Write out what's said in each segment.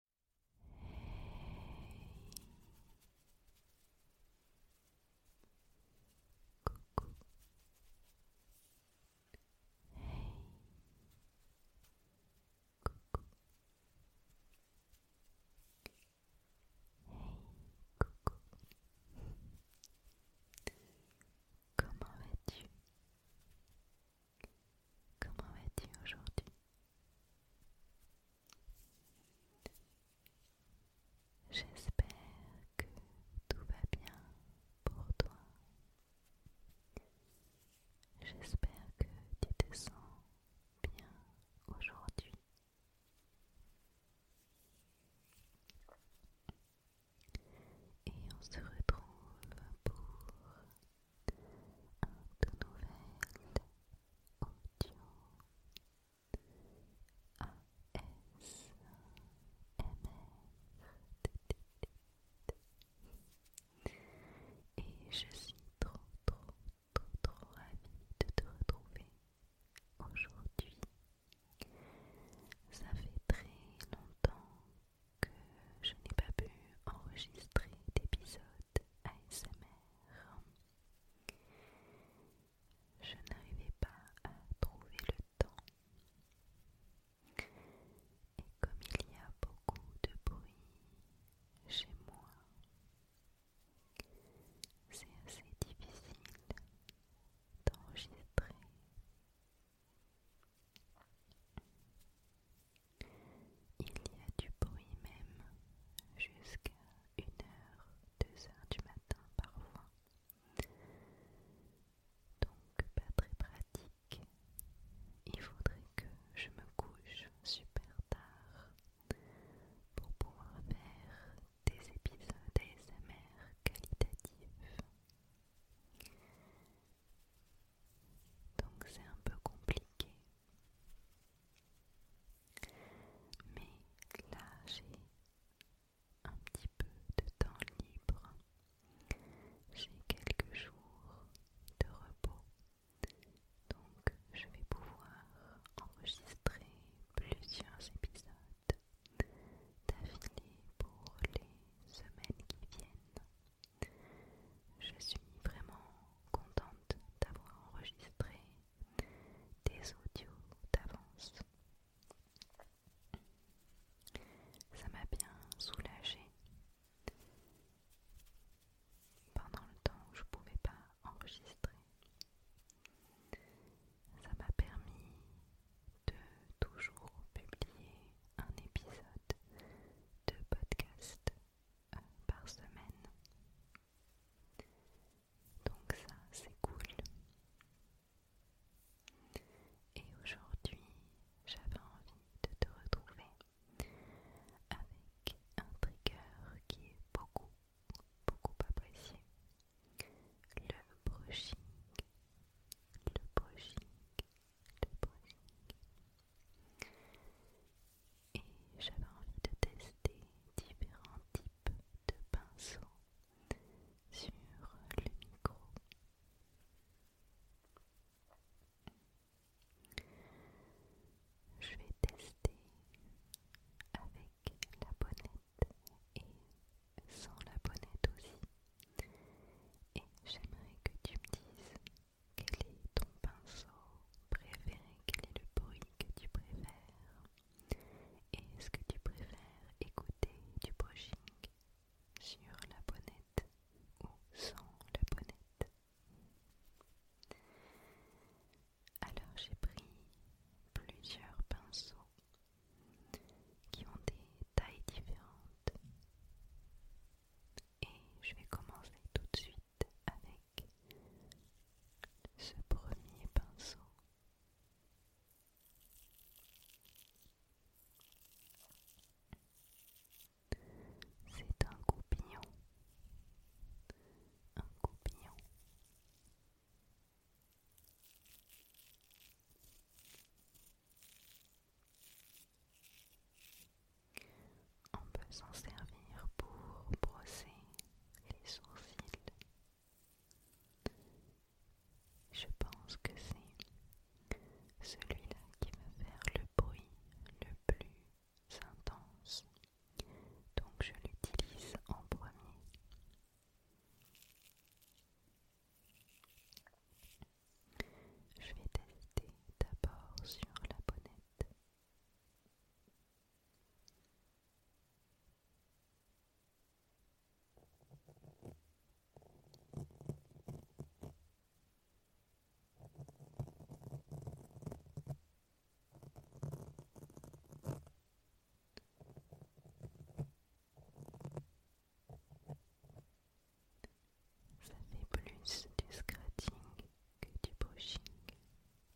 Coucou. Hey. Coucou. Hey, coucou. Comment vas-tu Comment vas-tu aujourd'hui J'espère que tout va bien pour toi. J'espère que tu te sens bien aujourd'hui. Et on se retrouve pour un tout nouvel audio ASMR et je suis trop trop trop trop ravie de te retrouver aujourd'hui ça fait très longtemps que je n'ai pas pu enregistrer d'épisode ASMR je n'arrivais pas à trouver le temps. Et comme il y a beaucoup de bruit chez moi, c'est assez difficile d'enregistrer. Il y a du bruit même jusqu'à 1h, 2h du matin parfois. Donc pas très pratique. Il faudrait que je me couche super tard pour pouvoir faire des épisodes ASMR qualitatifs. Donc c'est un peu compliqué mais là, j'ai un petit peu de temps libre. J'ai quelques jours de repos. Donc, je vais pouvoir enregistrer plusieurs épisodes d'affilée pour les semaines qui viennent. Je suis vraiment contente d'avoir enregistré des audios d'avance. Ça m'a bien soulagée pendant le temps où je ne pouvais pas enregistrer. Ça m'a permis de toujours publier un épisode de podcast euh, par semaine. Donc ça, c'est cool. Et aujourd'hui, j'avais envie de te retrouver avec un trigger qui est beaucoup, beaucoup apprécié. Le brushing. Le brushing. Le brushing. Et j'avais envie de tester différents types de pinceaux sur le micro. Je vais tester avec la bonnette et sans la bonnette aussi. Et j'aimerais que tu me dises quel est ton pinceau préféré Quel est le bruit que tu préfères Est-ce que tu préfères écouter du brushing sur la bonnette ou sans la bonnette Alors j'ai pris plusieurs pinceaux qui ont des tailles différentes. Et je vais commencer tout de suite avec ce premier pinceau. C'est un goupillon, un goupillon. On peut s'en servir pour brosser les sourcils. Je pense que c'est celui-là qui va faire le bruit le plus intense. Donc je l'utilise en premier. Je vais tester d'abord sur la bonnette. Ça fait plus du scratching que du brushing.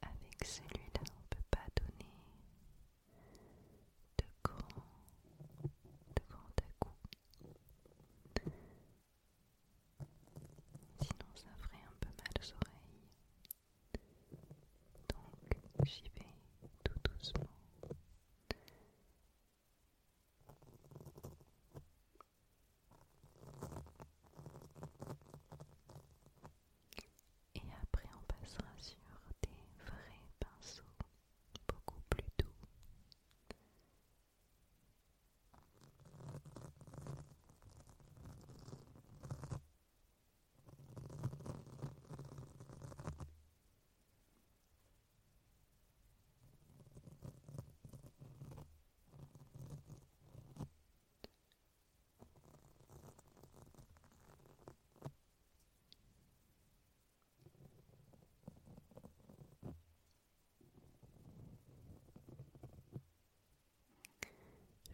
Avec celui-là, on ne peut pas donner de grands, de grands à coup. Sinon, ça ferait un peu mal aux oreilles. Donc, j'y vais tout doucement. Et après on passera sur des vrais pinceaux beaucoup plus doux.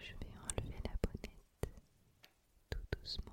Je vais enlever la bonnette tout doucement.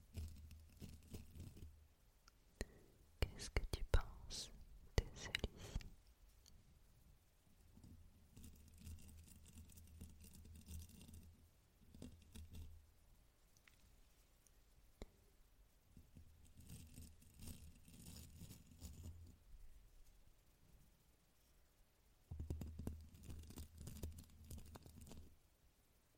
Qu'est-ce que tu penses de celui-ci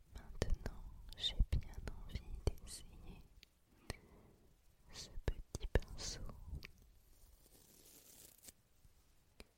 Maintenant, j'ai bien envie d'essayer ce petit pinceau.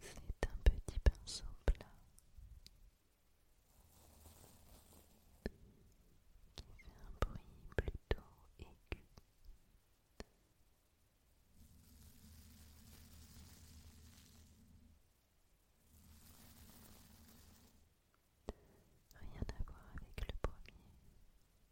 C'est un petit pinceau plat qui fait un bruit plutôt aigu. Rien à voir avec le premier.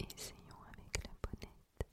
Essayons avec la bonnette.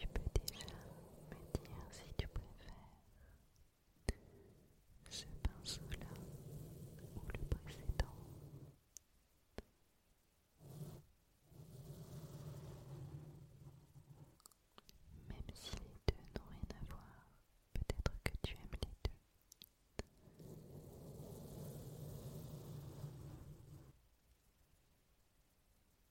Tu peux déjà me dire si tu préfères ce pinceau-là ou le précédent. Même si les deux n'ont rien à voir, peut-être que tu aimes les deux.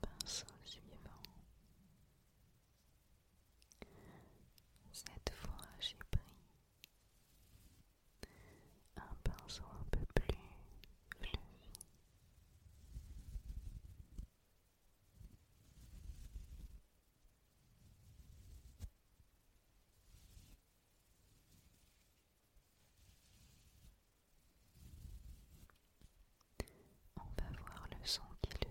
Pinceau suivant. Cette fois, j'ai pris un pinceau un peu plus on va voir le son qu'il fait.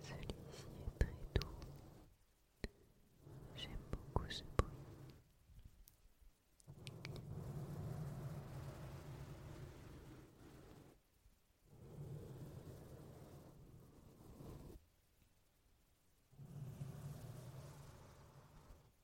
Celui-ci est très doux. J'aime beaucoup ce bruit.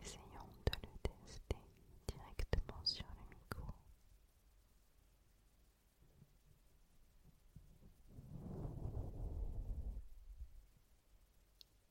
Essayons de le tester directement sur le micro.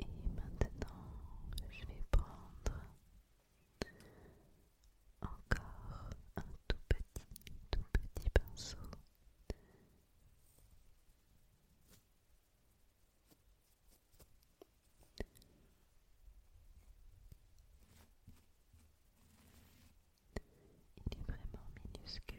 Et maintenant, je vais prendre encore un tout petit, tout petit pinceau. Il est vraiment minuscule.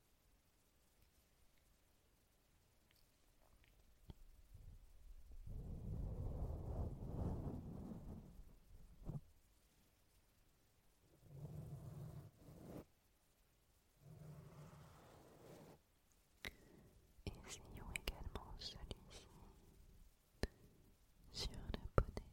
Essayons également celui-ci sur la bonnette.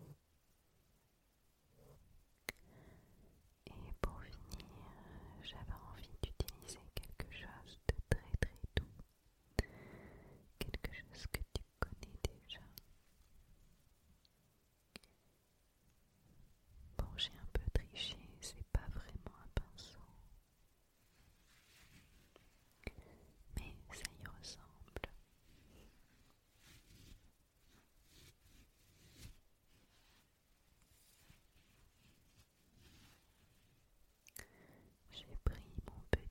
Et pour finir, j'avais envie d'utiliser quelque chose de très très doux, quelque chose que tu connais déjà. Bon, j'ai un peu triché, c'est pas vraiment un pinceau. Mais ça y ressemble. J'ai pris mon petit bonbon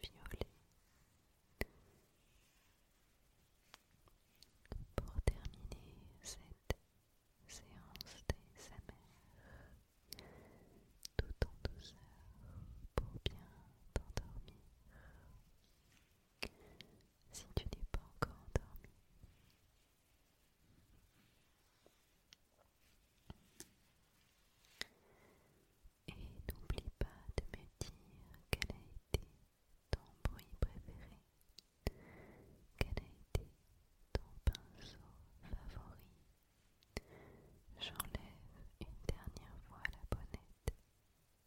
violet pour terminer cette séance amères, tout en douceur pour bien t'endormir si tu n'es pas encore endormi. Et n'oublie pas de me dire quel a été ton bruit préféré, quel a été ton pinceau favori. J'enlève une dernière fois la bonnette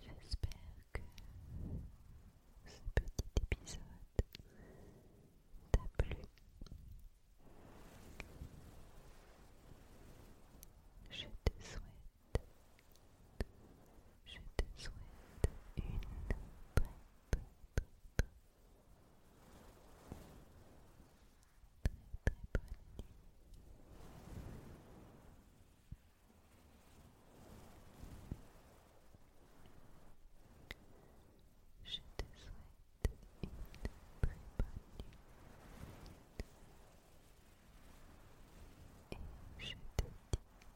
J'espère que ce petit épisode t'a plu. Je te souhaite je te souhaite une très très très très, très bonne nuit. Je te souhaite une très bonne nuit. Et je te dis